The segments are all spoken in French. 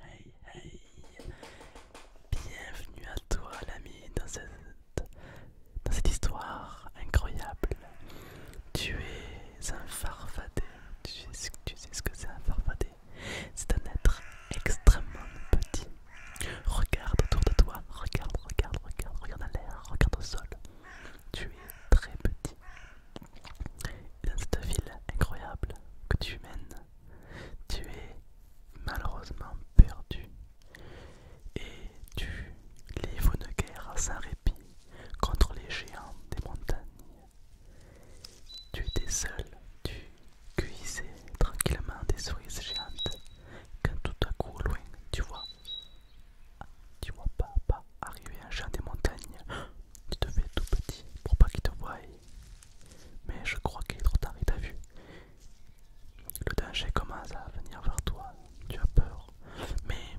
Hey, hey, hey Bienvenue à toi l'ami dans cette, dans cette histoire incroyable. Tu es un farfadet. Tu sais, ce que c'est un farfadet C'est un être extrêmement petit. Regarde autour de toi, regarde, regarde, regarde, regarde à l'air, regarde au sol. Tu es très petit. Et dans cette ville incroyable que tu mènes, tu es malheureusement perdu. Et tu livres une guerre sans répit contre les géants des montagnes tu étais seul, tu cuisais tranquillement des souris géantes, quand tout à coup, au loin, tu vois, tu vois pas, arriver un chat des montagnes, tu te fais tout petit pour pas qu'il te voie, mais je crois qu'il est trop tard, il t'a vu. Le danger commence à venir vers toi, tu as peur, mais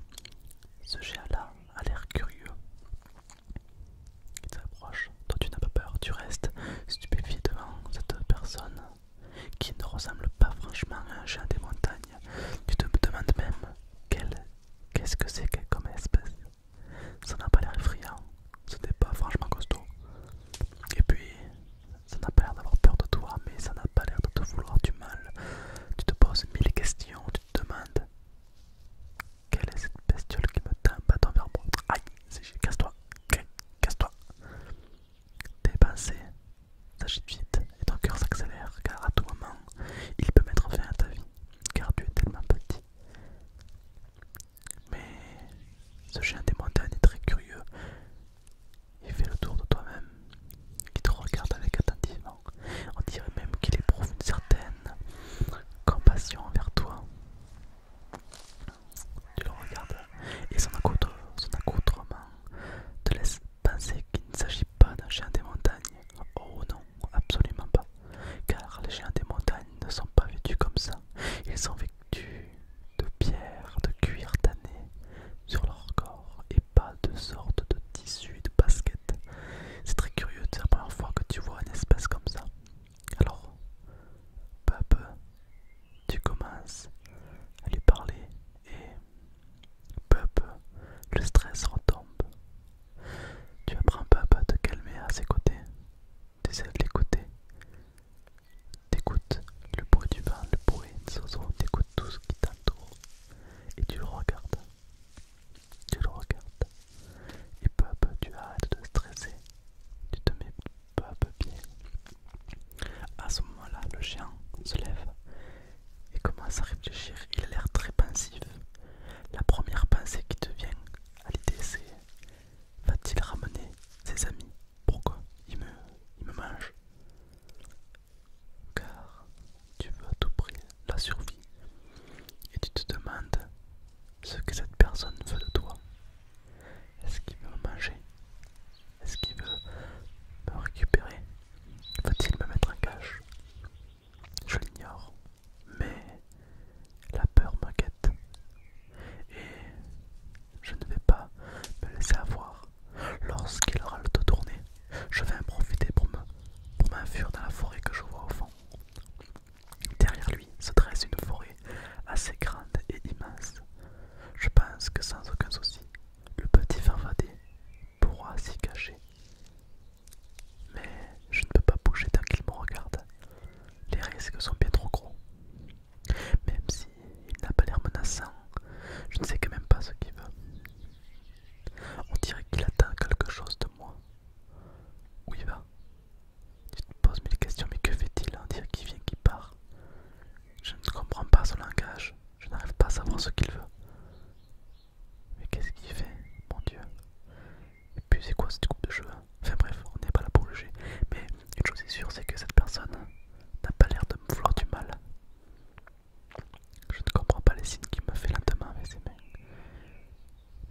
ce géant-là a l'air curieux qui s'approche, toi tu n'as pas peur, tu restes stupéfié devant cette personne qui ne ressemble pas franchement à un chien des montagnes. Tu te demandes même qu'est-ce que c'est comme espèce. Ça n'a pas l'air effrayant, ce n'est pas franchement costaud. Et puis, ça n'a pas l'air d'avoir peur de toi, mais ça n'a pas l'air de te vouloir du mal. Tu te poses mille questions, tu te demandes quelle est cette bestiole qui me tape vers moi Aïe, c'est casse-toi, casse-toi. pensées, s'agite vite et ton cœur s'accélère car à tout moment il peut mettre fin à ta vie car tu es tellement petit. Mais ce chien des montagnes est très curieux. Il fait le tour de toi-même, il te regarde avec attentivement. On dirait même qu'il éprouve une certaine compassion envers toi. Tu le regardes et son accoutrement te laisse penser qu'il ne s'agit pas d'un chien des montagnes. Oh non, absolument pas. Car les chiens des montagnes ne sont pas vêtus comme ça. Ils sont vêtus de pierres, de cuir tanné sur leur corps et pas de sorte de tissu de basket c'est très curieux, c'est la première fois que tu vois une espèce comme ça. Alors, peu tu commences à lui parler et peu le stress retombe. Tu apprends peu à te calmer à ses côtés. Tu essaies de l'écouter. écoutes le bruit du vent, le bruit des oiseaux, t'écoutes tout ce qui t'entoure et tu le regardes. Tu le regardes et peu à peu tu arrêtes de stresser. Tu te mets peu à peu bien. À ce moment-là, le chien se lève et commence à réfléchir. Il a l'air très pensif. La première pensée qui te vient à l'idée, c'est va-t-il ramener ses amis Pourquoi il me, il me mange car tu veux à tout prix la survie et tu te demandes ce que cette personne veut de toi. Est-ce qu'il veut manger Est-ce qu'il veut me récupérer Veut-il me mettre un cache Je l'ignore, mais la peur m'inquiète et je ne vais pas me laisser avoir Lorsqu'il aura le dos tourné, je vais en profiter pour m'enfuir dans la forêt que je vois au fond. Derrière lui se dresse une forêt assez grande et immense. Je pense que sans aucun souci, le petit farfadet pourra s'y cacher. Mais je ne peux pas bouger tant qu'il me regarde. Les risques sont bien trop gros. Même s'il n'a pas l'air menaçant, je ne sais quand même pas ce qu'il veut. On dirait qu'il attend quelque chose de moi. Où il va Tu te poses mille questions, mais que fait-il On hein dirait qu'il vient, qu'il part. Je ne comprends pas son langage. Je n'arrive pas à savoir ce qu'il veut. Mais qu'est-ce qu'il fait Mon Dieu. Et puis c'est quoi cette coupe de jeu Enfin bref, on n'est pas là pour juger. Mais une chose est sûre, c'est que cette personne n'a pas l'air de me vouloir du mal. Je ne comprends pas les signes qu'il me fait lentement demain avec ses mains.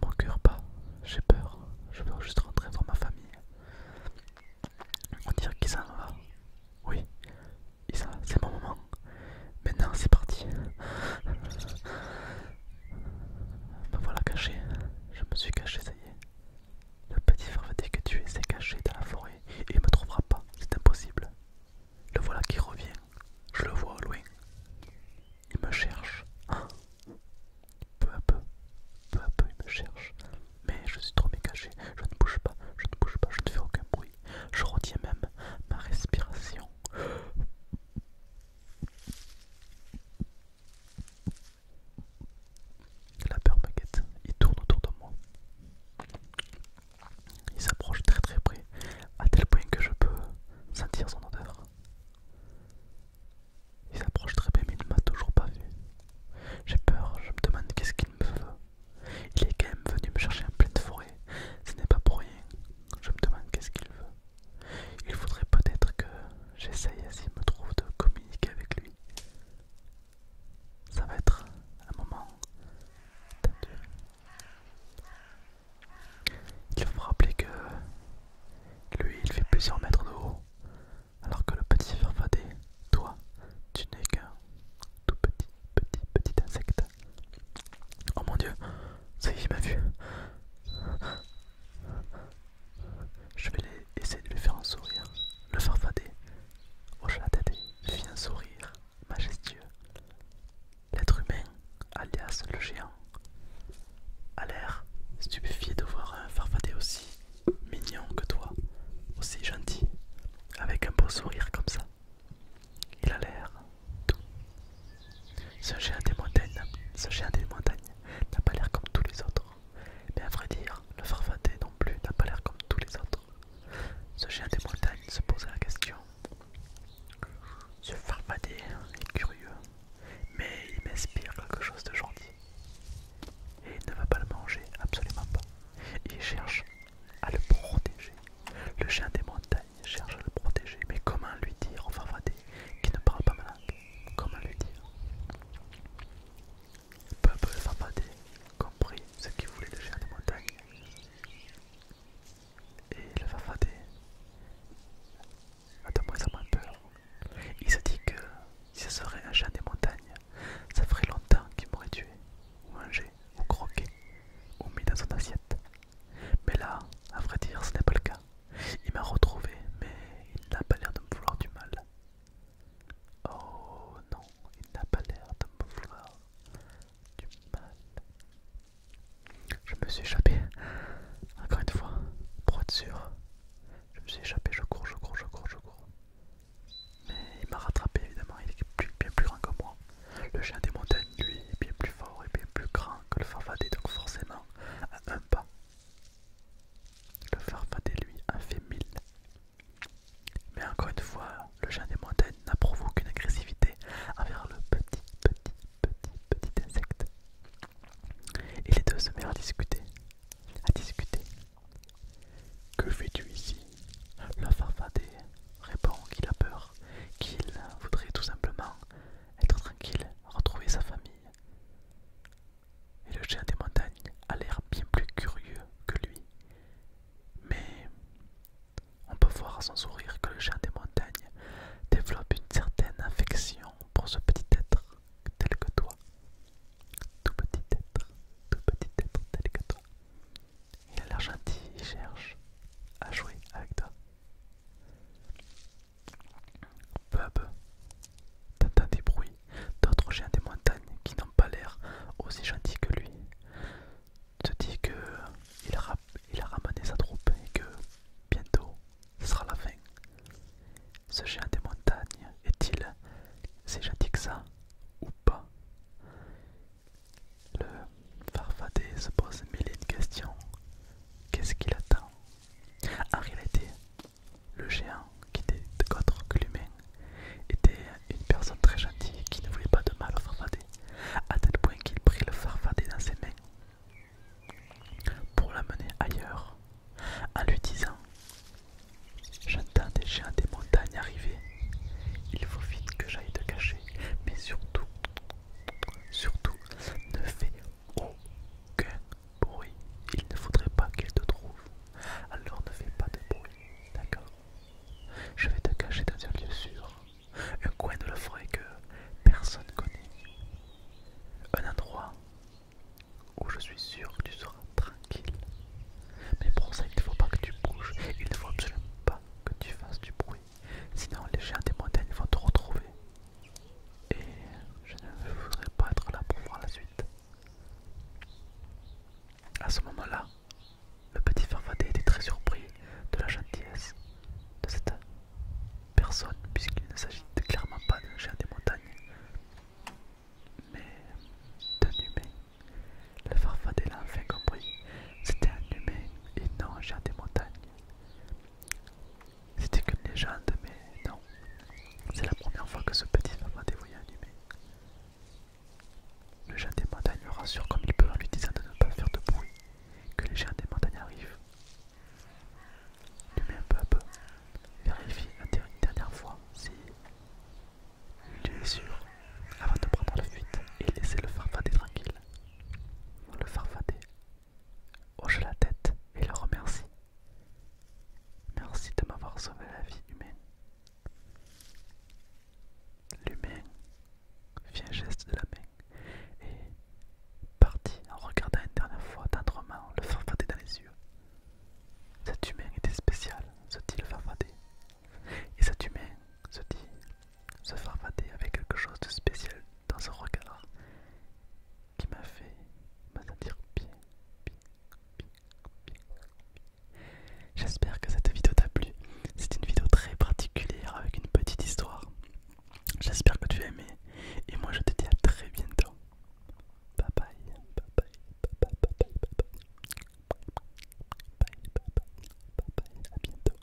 Mon cœur pas. j'ai peur, je veux juste rentrer dans ma famille. On dirait qu'il s'en va. Oui, il va. c'est mon moment. Maintenant, c'est parti. Me voilà caché. Je me suis caché, ça y est. Le petit dire que tu es caché dans la forêt et il me trouvera pas. C'est impossible. Le voilà qui revient. Je le vois au loin. Il me cherche. Hein? Peu à peu, peu à peu, il me cherche. Mais je suis trop mécagé. Je ne bouge pas, je ne bouge pas, je ne fais aucun bruit. Je retiens même ma respiration. La peur me Il tourne autour de moi. Il s'approche très très près, à tel point que je peux sentir son odeur. Il s'approche très près, mais il ne m'a toujours pas vu. J'ai peur, je me demande qu'est-ce qu'il me veut. Il est quand même venu me chercher en pleine forêt, ce n'est pas pour rien. Je me demande qu'est-ce qu'il veut. Il faudrait peut-être que j'essaye s'il me trouve de communiquer avec lui ça va être un moment tendu. Euh, il faut rappeler que lui, il fait plusieurs mètres de haut, alors que le petit farfadet, toi, tu n'es qu'un tout petit, petit, petit insecte. Oh mon dieu, ça y est, il m'a vu. Je vais essayer de lui faire un sourire. Le farfadet Oh fit un sourire majestueux. L'être humain, alias le géant, a l'air stupéfié de voir un farfadet aussi mignon que toi, aussi gentil, avec un beau sourire comme ça. Il a l'air doux. Ce géant des montagnes, ce géant des montagnes n'a pas l'air comme tous les autres. Mais à vrai dire, le farfadet non plus n'a pas l'air comme tous les autres. Ce chien des montagnes se posait la question. Ce farfadet est curieux, mais il m'inspire quelque chose de gentil. Et il ne va pas le manger, absolument pas. Il cherche à le protéger. Le chien des montagnes cherche à le protéger, mais comment lui dire au farfadet qui ne parle pas malin Comment lui dire Peuple Samadé compris ce qu'il voulait le géant des montagnes. Et le Fafadé a de moins en moins peur. Il se dit que si ce serait un géant des montagnes, ça ferait longtemps qu'il m'aurait tué, ou mangé, ou croqué, ou mis dans son assiette. Mais là, à vrai dire, ce n'est pas le cas. Il m'a retrouvé, mais il n'a pas l'air de me vouloir du mal. Oh non, il n'a pas l'air de me vouloir du mal. Je me suis échappé. Encore une fois, pour être sûr. Je me suis échappé, je cours, je cours, je cours, je cours. Mais il m'a rattrapé évidemment, il est bien plus grand que moi. Le chien des montagnes, lui, est bien plus fort et bien plus grand que le farfadet, donc forcément, à un pas. Le farfadet, lui, a fait mille. Mais encore une fois, le géant des montagnes n'approuve aucune agressivité envers le petit, petit, petit, petit insecte. Et les deux se mettent à discuter, à discuter. Que fais-tu ici Le farfadet répond qu'il a peur, qu'il voudrait tout simplement être tranquille, retrouver sa famille. Et le chien des montagnes a l'air bien plus curieux que lui. Mais on peut voir à son sourire que le chien des montagnes développe une certaine affection pour ce petit être tel que toi. Tout petit être, tout petit être tel que toi. Il a l'air gentil, il cherche à jouer avec toi. Peu à des bruits d'autres géants des montagnes qui n'ont pas l'air aussi gentils que lui. te dit que il a, ramené sa troupe et que bientôt ce sera la fin. Ce géant des montagnes est-il si gentil que ça ou pas Le farfadet se pose mille et questions. Qu'est-ce qu'il attend En réalité, le géant, qui était autre que l'humain, était une personne très gentille qui ne voulait pas de mal au farfadet, à tel point qu'il prit le farfadet dans ses mains pour l'amener ailleurs, en lui disant J'entends des géants des montagnes arriver, il faut vite que j'aille te cacher, mais surtout, surtout, ne fais aucun bruit. Il ne faudrait pas qu'il te trouve. Alors ne fais pas de bruit, d'accord Je vais te cacher dans un lieu sûr, un coin de la forêt que personne connaît. Un endroit où je suis sûr que tu seras tranquille. Mais pour ça, il ne faut pas que tu bouges, il ne faut absolument pas que tu fasses du bruit. Sinon les gens des montagnes vont te retrouver et je ne voudrais pas être là pour voir la suite. À ce moment-là, le petit Farfadet était très surpris de la gentillesse de cette personne, puisqu'il ne s'agit clairement pas d'un géant des montagnes, mais d'un humain. Le Farfadet l'a enfin compris, c'était un humain et non un géant des montagnes. C'était qu'une légende, mais non. C'est la première fois que ce petit papa dévoyé un Le géant des montagnes le rassure comme il peut en lui disant de ne pas faire de bruit, que les géants des montagnes arrivent. un peu à peu vérifie une dernière fois si il est sûr avant de prendre la fuite et laisser le farfadet tranquille. Le farfadet hoche la tête et le remercie. Merci de m'avoir sauvé la vie humaine. L'humain fit un geste de la main et partit en regardant une dernière fois tendrement le farfadet dans les yeux. Cet humain était spéciale, se dit le farfadet. Et cet humain, se dit, ce farfadet avait quelque chose de spécial dans son regard qui m'a fait me sentir bien, bien, bien, bien, bien. J'espère que cette vidéo t'a plu. C'est une vidéo très particulière avec une petite histoire. J'espère que tu as aimé. Et moi je te dis à très bientôt. Bye bye. Bye bye. Bye bye. Bye bye. Bye bye. Bye bye. Bye bye. À bientôt.